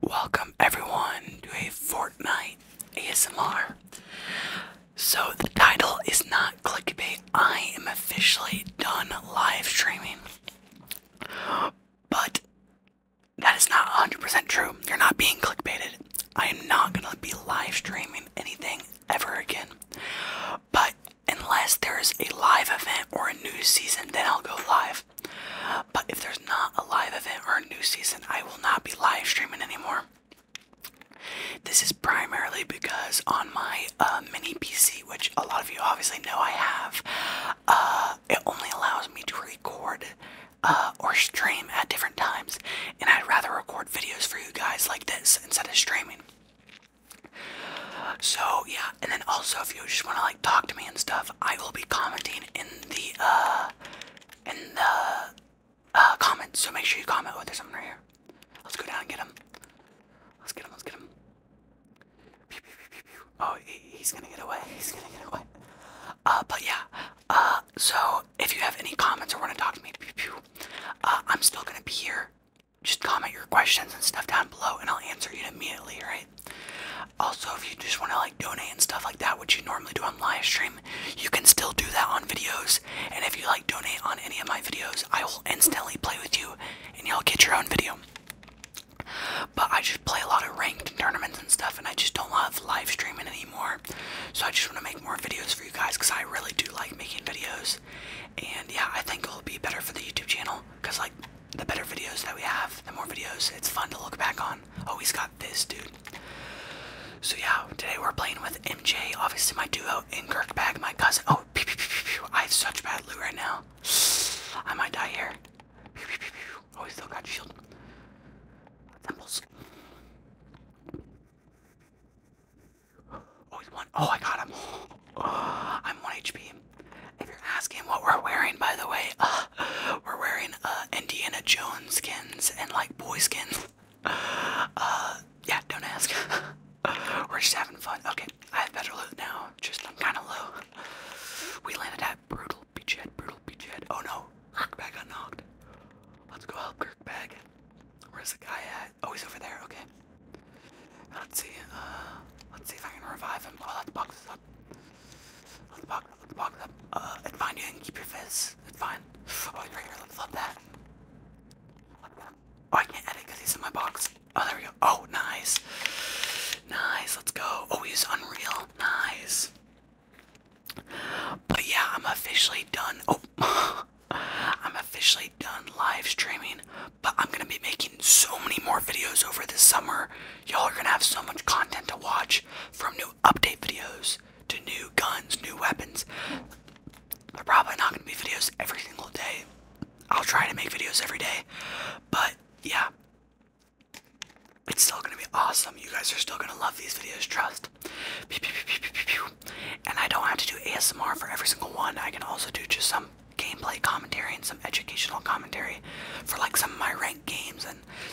Welcome everyone to a Fortnite ASMR. So the title is not clickbait. I am officially done live streaming. But that is not 100% true. You're not being clickbaited. I am not going to be live streaming anything ever again. But unless there is a live event or a new season, then I'll go live. But if there's not a live event or a new season, I will not be live streaming anymore. This is primarily because on my uh, mini PC, which a lot of you obviously know I have, uh, it only allows me to record uh, or stream at different times, and I'd rather record videos for you guys like this instead of streaming. So yeah, and then also if you just want to like talk to me and stuff, I will be commenting in the uh in the uh comments. So make sure you comment. Oh, there's something right here. Let's go down and get him. Let's get him. Let's get him. Oh, he's gonna get away. He's gonna get away. Uh, but yeah. Uh, so if you have any comments or want to talk to me, uh, I'm still gonna be here. Just comment your questions and stuff down below, and I'll answer you immediately, right? Also, if you just want to like donate and stuff like that, which you normally do on live stream, you can still do that on videos. And if you like donate on any of my videos, I will instantly play with you and you'll get your own video. But I just play a lot of ranked tournaments and stuff, and I just don't love live streaming anymore. So I just want to make more videos for you guys because I really do like making videos. And yeah, I think it'll be better for the YouTube channel because, like, the better videos that we have, the more videos it's fun to look back on. Oh, he's got this, dude. So yeah, today we're playing with MJ, obviously my duo, and Kirkbag, my cousin. Oh, pew, pew, pew, pew, pew. I have such bad loot right now. I might die here. Pew, pew, pew, pew. Oh, we still got shield. Oh, oh, I got him. I'm one HP. If you're asking what we're wearing, by the way, we're wearing uh, Indiana Jones skins and like boy skins. Uh, yeah, don't ask. we're just having fun. Okay, I have better loot now. Just I'm kind of low. We landed at brutal beachhead. Brutal beachhead. Oh no, Kirkbag got knocked. Let's go help Kirkbag. Where's the guy at? Oh, he's over there. Okay. Let's see. Uh, let's see if I can revive him. Oh, that box is up. Let the pocket let the pocket up. Uh, it's fine, you can keep your fizz. It's fine. Oh, let's love that. Oh, I can't he's in my box. Oh, there we go. Oh, nice. Nice, let's go. Oh, he's unreal. Nice. But yeah, I'm officially done. Oh, I'm officially done live streaming, but I'm gonna be making so many more videos over this summer. Y'all are gonna have so much content to watch from new update videos to new guns, new weapons. They're probably not going to be videos every single day. I'll try to make videos every day, but yeah, it's still going to be awesome. You guys are still going to love these videos, trust. And I don't have to do ASMR for every single one. I can also do just some gameplay commentary and some educational commentary for like some of my ranked games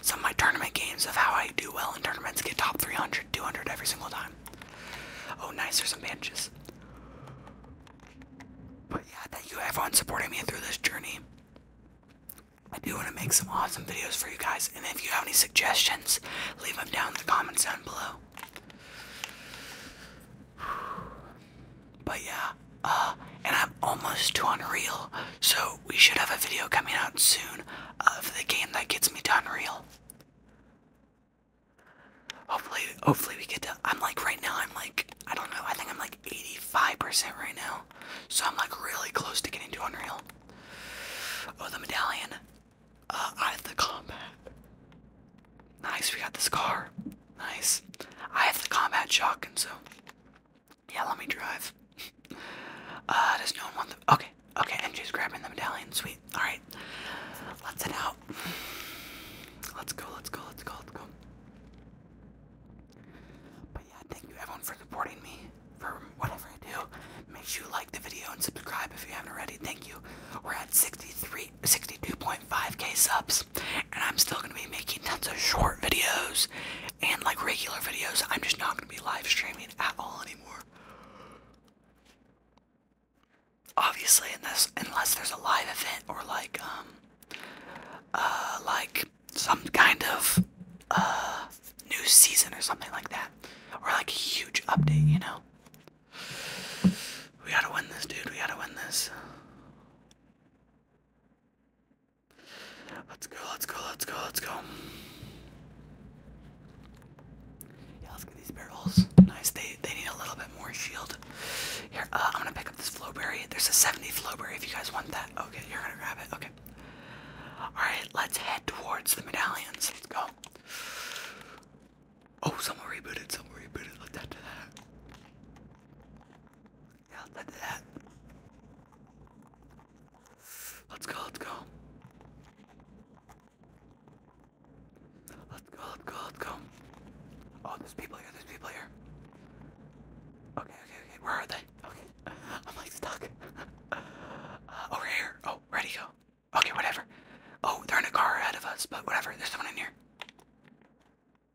some of my tournament games of how I do well in tournaments get top 300, 200 every single time. Oh, nice, there's some bandages. But yeah, thank you everyone supporting me through this journey. I do want to make some awesome videos for you guys, and if you have any suggestions, leave them down in the comments down below. But yeah, uh, and I'm almost to Unreal, so we should have a video coming out soon of the game that gets me to Unreal. Hopefully, hopefully we get to. I'm like right now. I'm like I don't know. I think I'm like 85% right now, so I'm like really close to getting to Unreal. Oh, the medallion. Uh, out of the combat. Nice, we got the scar. Nice. I have the combat shotgun, so yeah, let me drive. uh, does no one want them? Okay, okay, and she's grabbing the medallion. Sweet. All right, let's head out. Let's go, let's go, let's go, let's go. But yeah, thank you everyone for supporting me for whatever I do. Make sure you like the video and subscribe if you haven't already. Thank you. We're at 63, 62.5k subs, and I'm still gonna be making tons of short videos and like regular videos, I'm just not gonna be live streaming at all anymore. Obviously, unless unless there's a live event or like um uh like some kind of uh new season or something like that, or like a huge update, you know. We gotta win this, dude. We gotta win this. Let's go, let's go, let's go, let's go. Yeah, let's get these barrels. Nice. They they need a little bit more shield. Here, uh, I'm gonna pick up this flowberry. There's a 70 flowberry if you guys want that. Okay, you're gonna grab it. Okay. Alright, let's head towards the medallions. Let's go. Oh, someone rebooted, someone rebooted. Look at that. Yeah, let's do that. Let's go, let's go. Let's go, let's go, let's go. Oh, there's people here, there's people here. Okay, okay, okay, where are they? Okay, I'm like stuck. Uh, over here. Oh, where go? Okay, whatever. Oh, they're in a car ahead of us, but whatever, there's someone in here.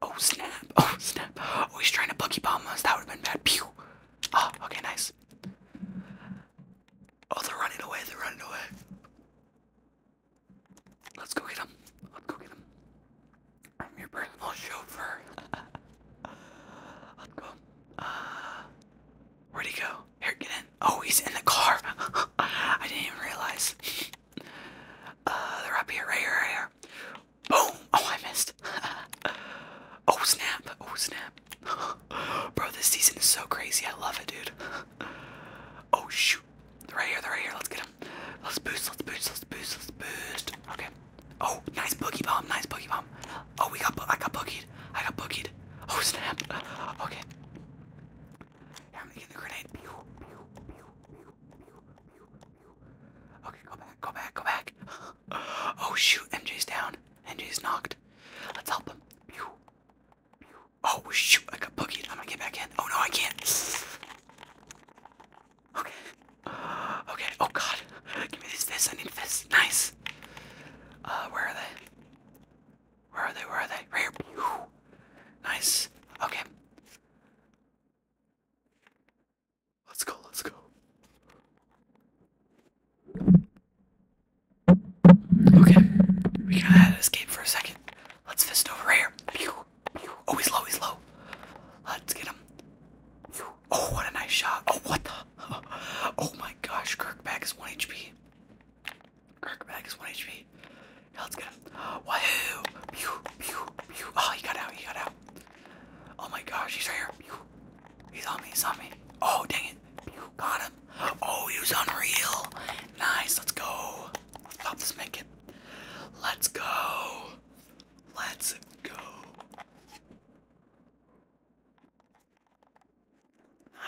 Oh, snap. Oh, snap. Oh, he's trying to boogie bomb us. That would have been bad. Pew. Oh, okay, nice. Oh, they're running away, they're running away. Let's go get them. Let's go get them. I'm your personal chauffeur. Let's go. where'd he go? Here, get in. Oh, he's in the car. I didn't even realize. uh, they're up here, right here, here. Boom! Oh, I missed. oh, snap. Oh, snap. Bro, this season is so crazy. I love it, dude. oh, shoot. They're right here. They're right here. Let's get them. Let's boost. Let's boost. Let's boost. Let's boost. Okay. Oh, nice boogie bomb. Nice boogie bomb. Oh, we got. I got boogied. I got boogied. Oh, snap. okay. Yeah, I'm gonna get the grenade. Okay, go back. Go back. Go back. Oh shoot, MJ's down. MJ's knocked. Let's help him. Oh shoot, I got boogied. I'm gonna get back in. Oh no, I can't. Okay. Okay. Oh god. Give me this. This. I need this. Nice. Uh, where are they? Where are they? Where are they? Right here. Nice. Okay. Let's go, let's go. Okay, we gotta escape for a second. Let's fist over here. Pew, pew. Oh, low, he's low. Let's get him. Oh, what a nice shot. Oh, what the? Oh my gosh, Kirkback is 1 HP. Kirkback is 1 HP. Yeah, let's get him. Wahoo! Pew, pew, pew. Oh, he got out, he got out. Oh my gosh, he's right here. He's on me, he's on me. Oh, dang it. Got him. Oh, he was unreal. Nice, let's go. Let's this make it. Let's go. Let's go.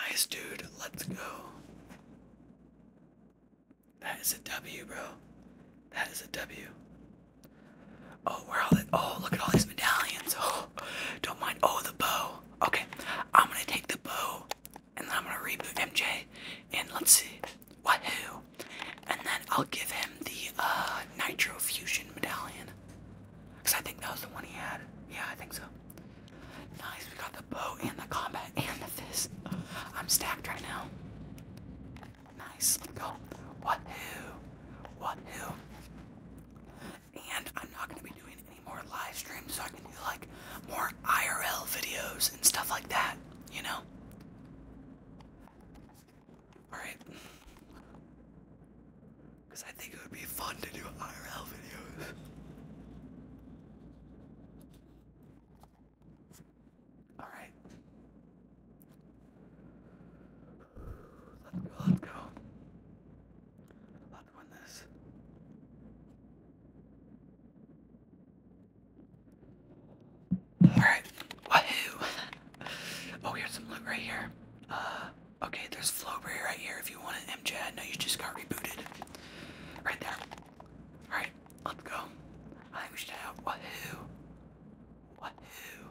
Nice, dude. Let's go. That is a W, bro. That is a W. Oh, oh, look at all these medallions. Oh don't mind. Oh the bow. Okay. I'm gonna take the bow and then I'm gonna reboot MJ and let's see. Wahoo! And then I'll give him the uh nitro fusion medallion. Cause I think that was the one he had. Yeah, I think so. Nice, we got the bow and the combat and the fist. I'm stacked right now. Nice, let's go. Wahoo! Wahoo! And I'm not going to be doing any more live streams, so I can do like more IRL videos and stuff like that, you know? Alright. Because I think it would be fun to do IRL videos. Alright let go, let go. Let's win this. Alright. Wahoo! oh, here's some loot right here. Uh, okay, there's Flowberry right here if you want an MJ. I know you just got rebooted. Right there. Alright, let's go. I think we should have Wahoo. Wahoo.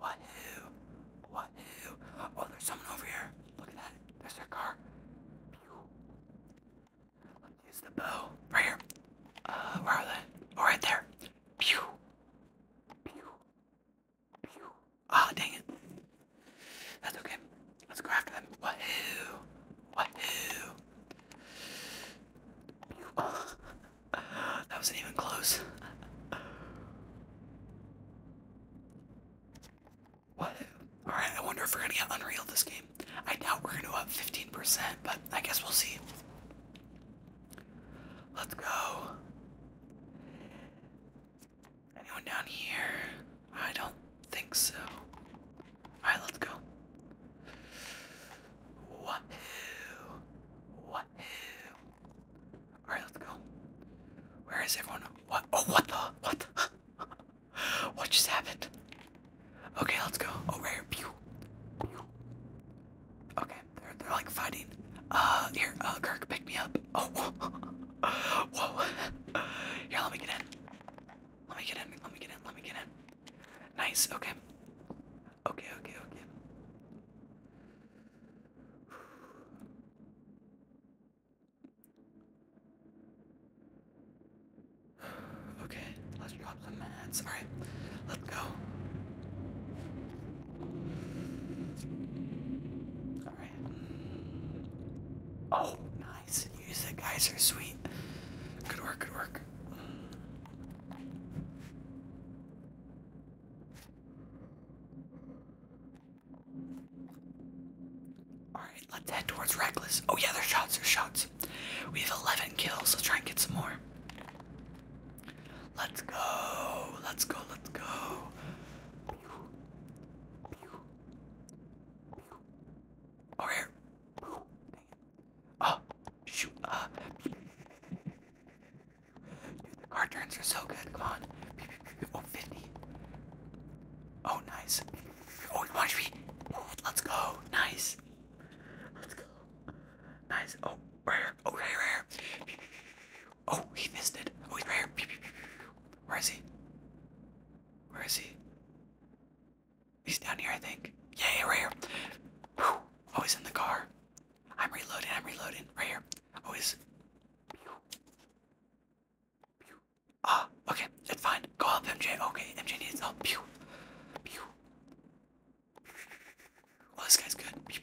Wahoo. Wahoo. Oh, there's someone over here. Look at that. There's their car. Let's use the bow. Right here. Uh, where are they? Oh, right there. Pew. Pew. Pew. Ah, dang it. That's okay. Let's go after them. Wahoo. Wahoo. Pew. Oh. that wasn't even close. What? Alright, I wonder if we're gonna get Unreal this game. I doubt we're gonna up 15%, but I guess we'll see. Let's go. Anyone down here? I don't think so. Alright, let's go. Wahoo! Wahoo! What? Alright, let's go. Where is everyone? What? Oh, what the? What? The? what just happened? Okay, let's go. Oh, right here. Pew. Pew. Okay, they're, they're like fighting. Uh, here, uh, Kirk, pick me up. Oh, whoa. whoa. Here, let me get in. Let me get in. Let me get in. Let me get in. Nice. Okay. Okay, okay, okay. Okay, let's drop the Alright, let's go. Alright. Oh, nice. Use guys are sweet. Good work, good work. Alright, let's head towards Reckless. Oh yeah, there's shots, there's shots. We have 11 kills, let's try and get some more. Let's go, let's go, let's go. Over here. Oh, shoot, uh. Hard turns are so good. Come on. Oh, Oh, nice. Oh, watch me. Let's go. Nice. Let's go. Nice. Oh, right Oh, right here, Oh, he missed it. Oh, he's right Where is he? Where is he? He's down here, I think. Yeah, yeah, Oh, he's in the car. I'm reloading, I'm reloading. Right here. Oh, is. Ah, okay, it's fine. Go help MJ. Okay, MJ needs help. Pew. Pew. Oh, this guy's good. Pew. Dang,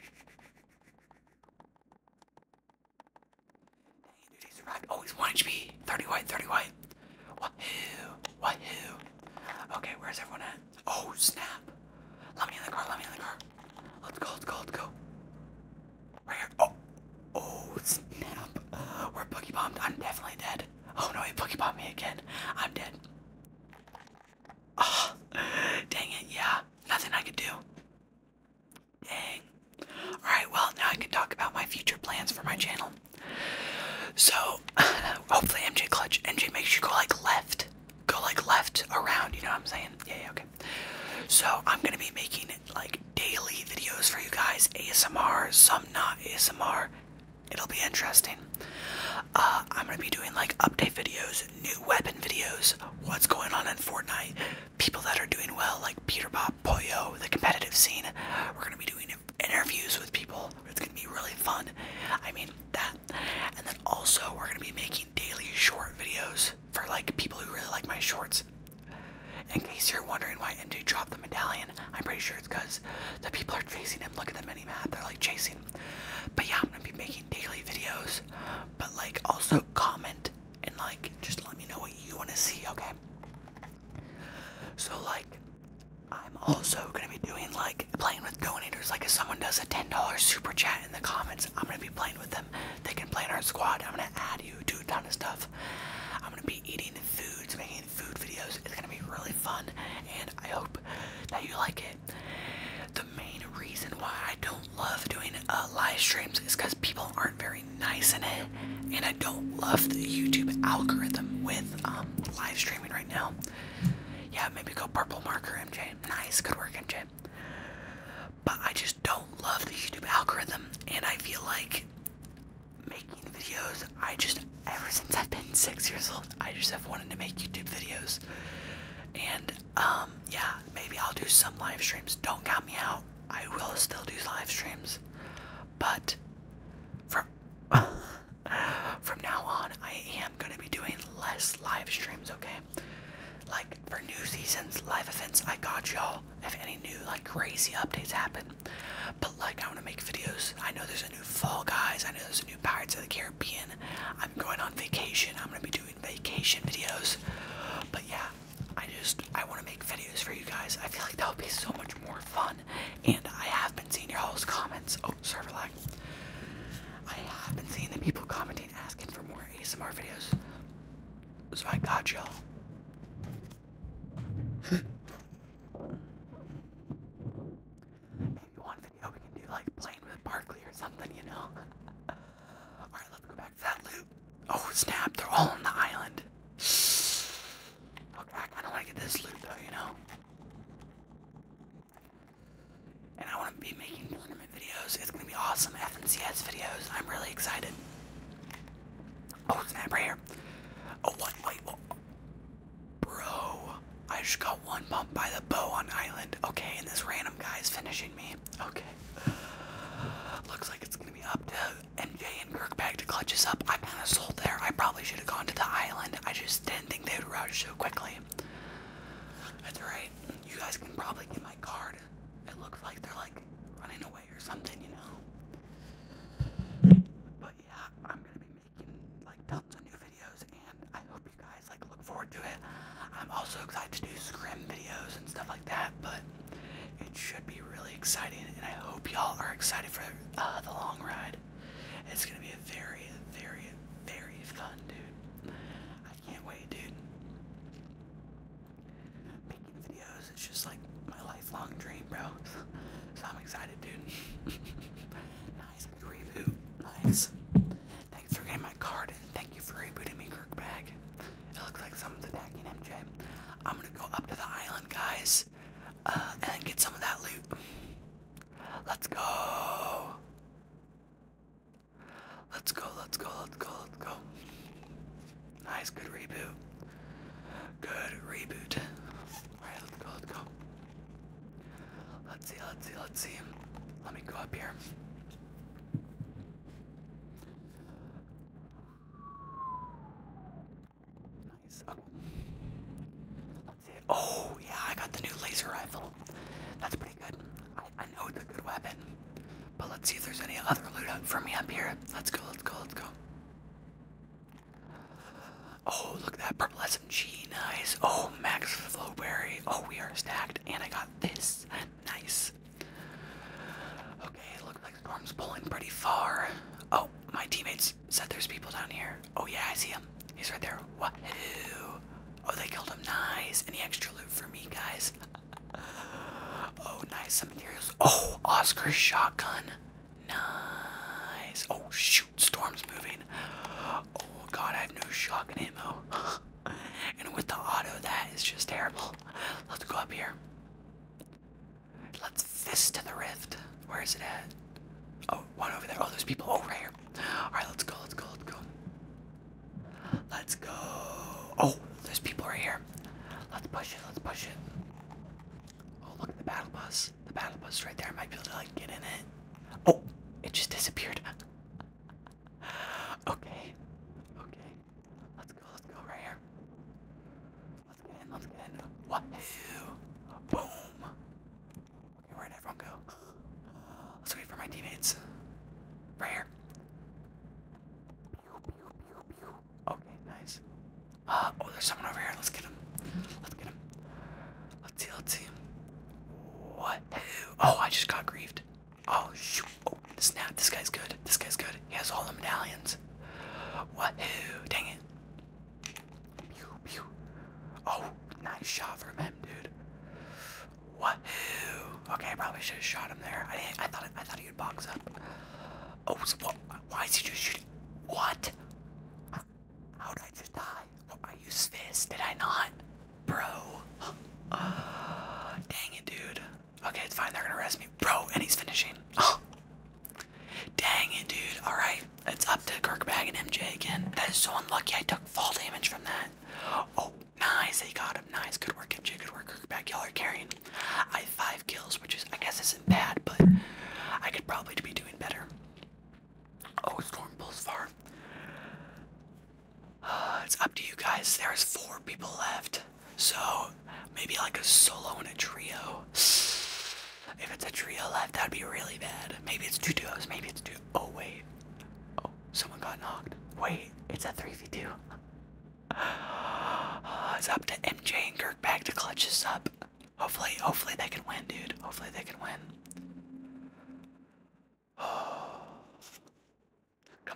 dude, he survived. Oh, he's 1 HP. 30 white, 30 white. Wahoo. Wahoo. Okay, where's everyone at? Oh, snap. Let me in the car, let me in the car. Let's go, let's go, go. Right here. Oh, oh snap. We're boogie bombed. I'm definitely dead. Oh no, he boogie bombed me again. I'm dead. Ah, dang it, yeah. Nothing I could do. Dang. Alright, well, now I can talk about my future plans for my channel. So, hopefully MJ Clutch, MJ makes you go like left go like left around, you know what I'm saying? Yeah, okay. So I'm gonna be making like daily videos for you guys, ASMR, some not ASMR. It'll be interesting. Uh, I'm gonna be doing like update videos, new weapon videos, what's going on in Fortnite, people that are doing well, like Peter Bob, Poyo, the competitive scene. We're gonna be doing interviews with people. It's gonna be really fun. I mean that, and then also we're gonna be making daily short videos for like people who really like my shorts. In case you're wondering why MJ dropped the medallion, I'm pretty sure it's because the people are chasing him. Look at the mini map, they're like chasing. But yeah, I'm gonna be making daily videos. But like also comment and like just let me know what you wanna see, okay? So like I'm also gonna be doing like playing with donators. Like if someone does a ten dollar super chat in the comments. I'm gonna be playing with them. They can play in our squad. I'm gonna add you to a ton of stuff. I'm gonna be eating foods, making food videos. It's gonna be really fun, and I hope that you like it. The main reason why I don't love doing uh, live streams is because people aren't very nice in it, and I don't love the YouTube algorithm with um, live streaming right now. Yeah, maybe go purple marker, MJ. Nice, good work, MJ. But I just don't love the YouTube algorithm, and I feel like making videos. I just, ever since I've been six years old, I just have wanted to make YouTube videos. And, um, yeah, maybe I'll do some live streams. Don't count me out. I will still do live streams. But, from, from now on, I am going to be doing less live streams, okay? Like for new seasons, live events, I got y'all. If any new like crazy updates happen, but like I want to make videos. I know there's a new Fall Guys. I know there's a new Pirates of the Caribbean. I'm going on vacation. I'm gonna be doing vacation videos. But yeah, I just I want to make videos for you guys. I feel like that would be so much more fun. And I have been seeing your all's comments. Oh, server lag. I have been seeing the people commenting asking for more ASMR videos. So I got y'all. Maybe one video we can do like playing with Barkley or something, you know? Alright, let's go back to that loop. Oh snap, they're all on the island. Okay, I kinda wanna this loot though, you know? and I want to be making tournament videos. It's gonna be awesome FNCS videos. I'm really excited. Oh snap! Right here. Oh, one what? bro! I just got one bump by the bow on island. Okay, and this random guy is finishing me. Okay. Looks like it's gonna be up to MJ and Kirk back to clutch us up. I kind of sold there. I probably should have gone to the island. I just didn't think they would rush so quickly. That's right. You guys can probably get my card. It looks like they're like running away or something, you know. But yeah, I'm gonna be making like tons of new videos, and I hope you guys like look forward to it. I'm also excited to do scrim videos and stuff like that, but it should be really exciting, and I hope y'all are excited for uh, the long ride. It's gonna be a very, very, very fun, dude. I can't wait, dude making videos is just like my lifelong dream, bro. So I'm excited, dude. nice reboot. Nice. Thanks for getting my card thank you for rebooting me, Kirkbag. It looks like someone's attacking MJ. I'm gonna go up to the island, guys, uh, and get some of that loot. Let's go. Let's go, let's go, let's go, let's go. Nice, good reboot. Good reboot. Alright, let's go, let's go. Let's see, let's see, let's see. Let me go up here. Nice. Oh. Let's see. Oh, yeah, I got the new laser rifle. That's pretty good. I know it's a good weapon. But let's see if there's any other loot for me up here. Let's go, let's go, let's go. Oh, look at that purple SMG. Nice. Oh, max flowberry. Oh, we are stacked. And I got this. Nice. Okay, it looks like Storm's pulling pretty far. Oh, my teammates said there's people down here. Oh, yeah, I see him. He's right there. Wahoo. Oh, they killed him. Nice. Any extra loot for me, guys? oh, nice. Some materials. Oh, Oscar's shotgun. Nice. Oh, shoot. Storm's moving. Oh, God. I have no shotgun ammo. and with the auto, that is just terrible. Let's go up here. Let's fist to the rift. Where is it at? Oh, one over there. Oh, there's people. Oh, right here. Alright, let's go. Let's go. Let's go. Let's go. Oh, there's people right here. Let's push it. Let's push it. Oh, look at the battle bus. The battle bus right there. I might be able to like get in it. Oh, it just disappeared. okay. Okay. Let's go. Let's go right here. Let's get in. Let's get in. Wahoo! Boom. Okay, where'd everyone go? Let's wait for my teammates. Right here. Okay, nice. Uh, oh, there's someone over here. Let's get him. Let's get him. Let's see, let's see. What? Oh, I just got grieved. Oh, snap. Oh, this guy's good. This guy's good. He has all the medallions. What? Dang it. Pew, pew. Oh, nice shot from him, dude. What? Okay, I probably should have shot him there. I I thought I thought he would box up. Oh, what, why is he just shooting? What? How did I just die? I used fist, did I not, bro? dang it, dude. Okay, it's fine. They're gonna arrest me, bro. And he's finishing. Dang it, dude. Alright, it's up to Kirkbag and MJ again. That is so unlucky. I took fall damage from that. Oh, Nice, they got him. Nice, good work, MJ. Good work, back Y'all are carrying. I have five kills, which is, I guess, isn't bad, but I could probably be doing better. Oh, Storm pulls far. it's up to you guys. There's four people left, so maybe like a solo and a trio. If it's a trio left, that'd be really bad. Maybe it's two duos. Maybe it's two. Oh wait. Oh, someone got knocked. Wait, it's a three v two. It's up to MJ and Kirkpatrick to clutch this up. Hopefully, hopefully they can win, dude. Hopefully they can win. Come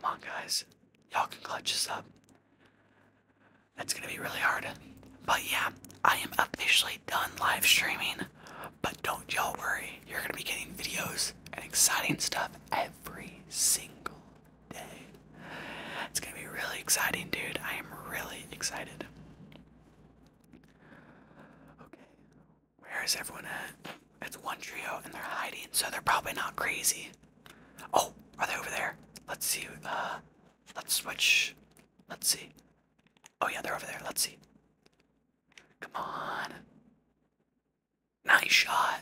on, guys. Y'all can clutch this up. That's gonna be really hard. But yeah, I am officially done live streaming. But don't y'all worry, you're gonna be getting videos and exciting stuff every single day. It's gonna be really exciting, dude. I am really excited. Okay, where is everyone at? It's one trio and they're hiding, so they're probably not crazy. Oh, are they over there? Let's see. Uh, let's switch. Let's see. Oh yeah, they're over there. Let's see. Come on. Nice shot.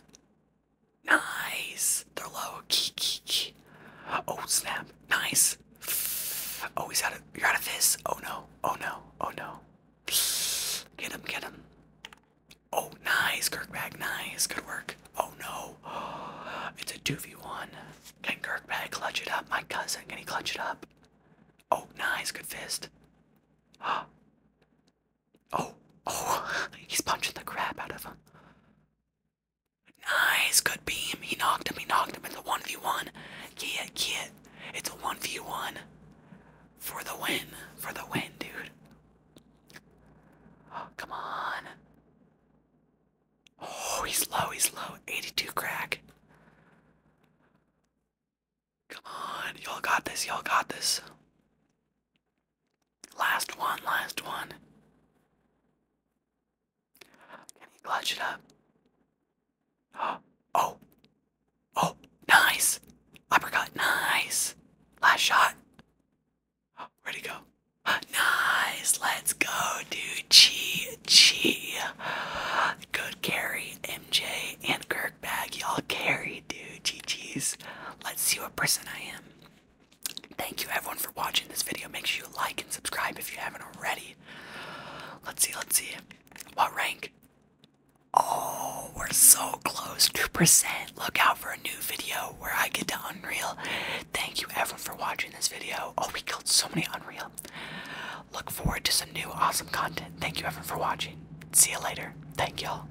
Nice. They're low. Oh snap. Nice. Oh, he's out of you're out of this. Oh no. Oh no. Oh no. Get him, get him. Oh nice, Kirkbag, nice. Good work. Oh no. It's a 2v1. Can Kirkbag clutch it up? My cousin, can he clutch it up? Oh nice, good fist. Oh, oh, he's punching the crap out of him. Nice, good beam. He knocked him, he knocked him. It's a 1v1. Get it, get it. It's a 1v1. For the win, for the win, dude. come on. Oh, he's low, he's low. 82 crack. Come on, y'all got this, y'all got this. Last one, last one. Can he clutch it up? Oh! Oh! Nice! Uppercut, nice! Last shot. where go? Nice! Let's go, dude. G G. Good carry, MJ and Kirk Bag. Y'all carry, dude. G's. Let's see what person I am. Thank you everyone for watching this video. Make sure you like and subscribe if you haven't already. Let's see, let's see. What rank? Oh, we're so close. 2%. Look out for a new video where I get to Unreal. Thank you everyone for watching this video. Oh, we killed so many Unreal. Look forward to some new awesome content. Thank you everyone for watching. See you later. Thank y'all.